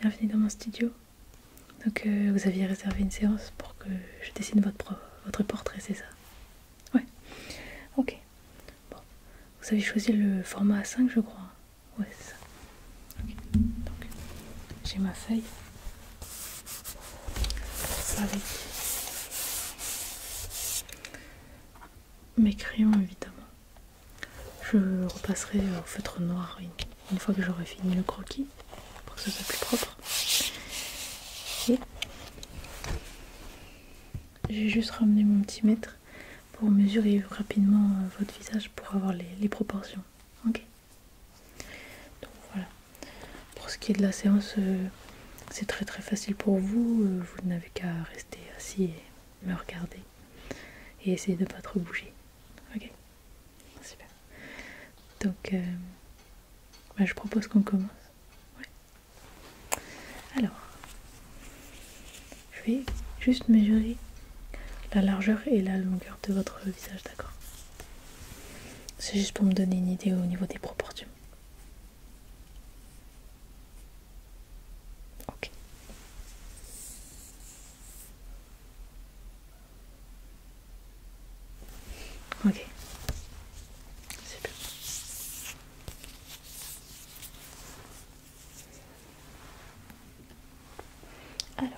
Bienvenue dans mon studio. Donc euh, vous aviez réservé une séance pour que je dessine votre, portrait, c'est ça Ouais. Ok. Bon. Vous avez choisi le format A5 je crois. Ouais, c'est ça. Ok. Donc j'ai ma feuille mes crayons évidemment. Je repasserai au feutre noir une, fois que j'aurai fini le croquis pour que ce soit plus propre. j'ai juste ramené mon petit mètre pour mesurer rapidement euh, votre visage pour avoir les, proportions. Ok. Donc voilà. Pour ce qui est de la séance, euh, c'est très très facile pour vous, euh, vous n'avez qu'à rester assis et me regarder et essayer de ne pas trop bouger. Ok Super. Donc, euh, bah, je propose qu'on commence. Alors, je vais juste mesurer la largeur et la longueur de votre visage, d'accord C'est juste pour me donner une idée au niveau des proportions. Ok. Ok. Alors,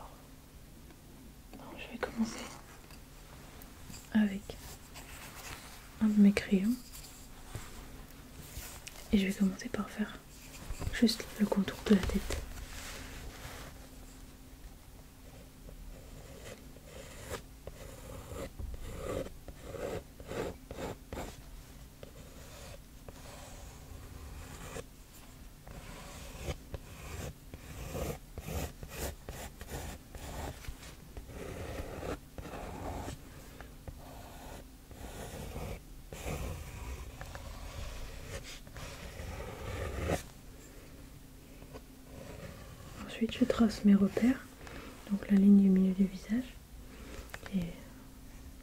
je vais commencer avec un de mes crayons et je vais commencer par faire juste le contour de la tête. Ensuite, je trace mes repères, donc la ligne du milieu du visage, et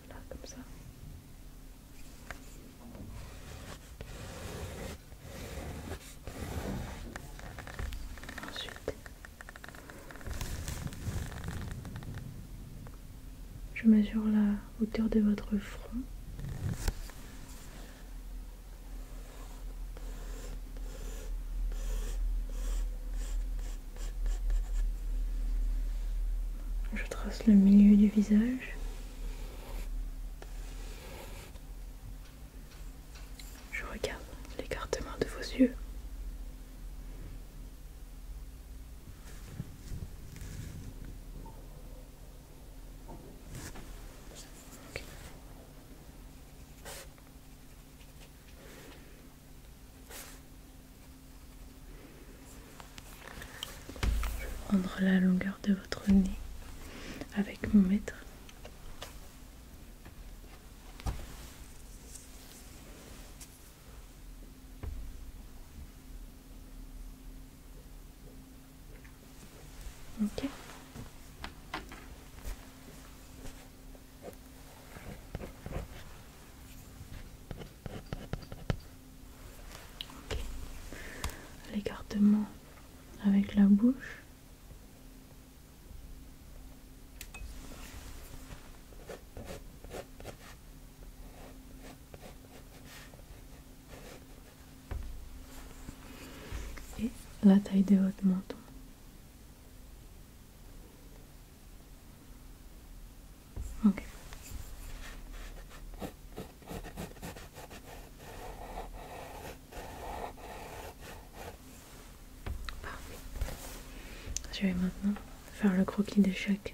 là, comme ça. Ensuite, je mesure la hauteur de votre front. Je trace le milieu du visage. Je regarde l'écartement de vos yeux. Je vais prendre la longueur de votre nez avec mon mètre. Ok. L'écartement avec la bouche et la taille de votre menton. Okay. Je vais maintenant faire le croquis de chaque.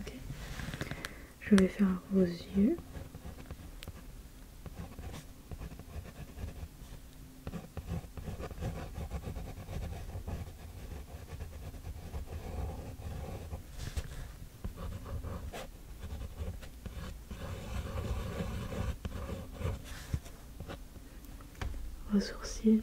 Ok. Je vais faire vos yeux vos sourcils.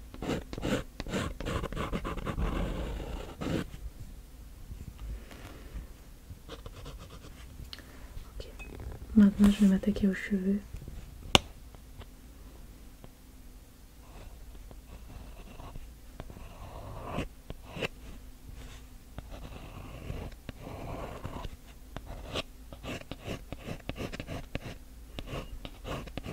Ok, maintenant je vais m'attaquer aux cheveux.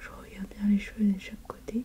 Je regarde bien les cheveux de chaque côté.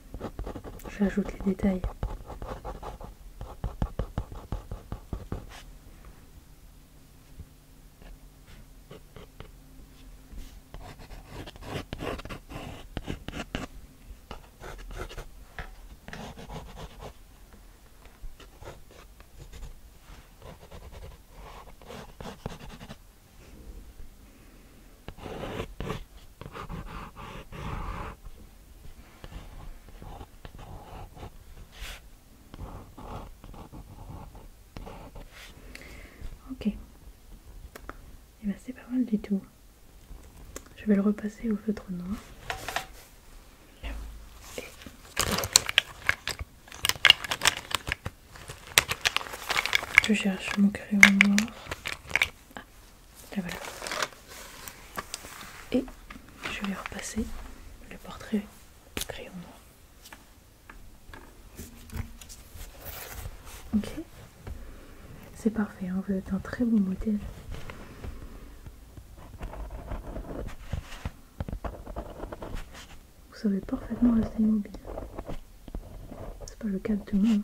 J'ajoute les détails. Ok. Et eh ben, c'est pas mal du tout. Je vais le repasser au feutre noir. Je cherche mon crayon noir. Et je vais repasser le portrait crayon noir. Ok, c'est parfait, on hein, vous êtes un très bon modèle. Vous savez parfaitement rester immobile. C'est pas le cas de tout le monde.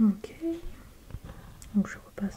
Ok. Donc je repasse.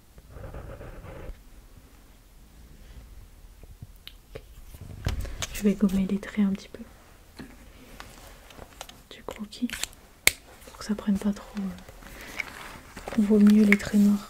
Je vais gommer les traits un petit peu du croquis pour que ça prenne pas trop. Euh, On vaut mieux les traits noirs.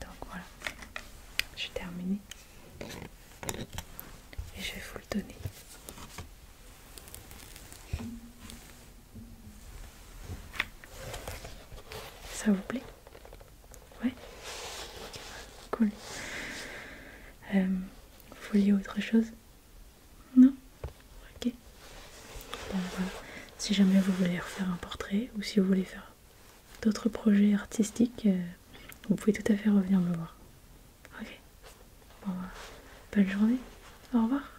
Donc voilà, j'ai terminé et je vais vous le donner. Ça vous plaît Ouais Cool. Euh, vous autre chose non Ok. Si jamais vous voulez refaire un portrait ou si vous voulez faire d'autres projets artistiques, euh, vous pouvez tout à fait revenir me voir. Ok. Bon, Bonne journée. Au revoir.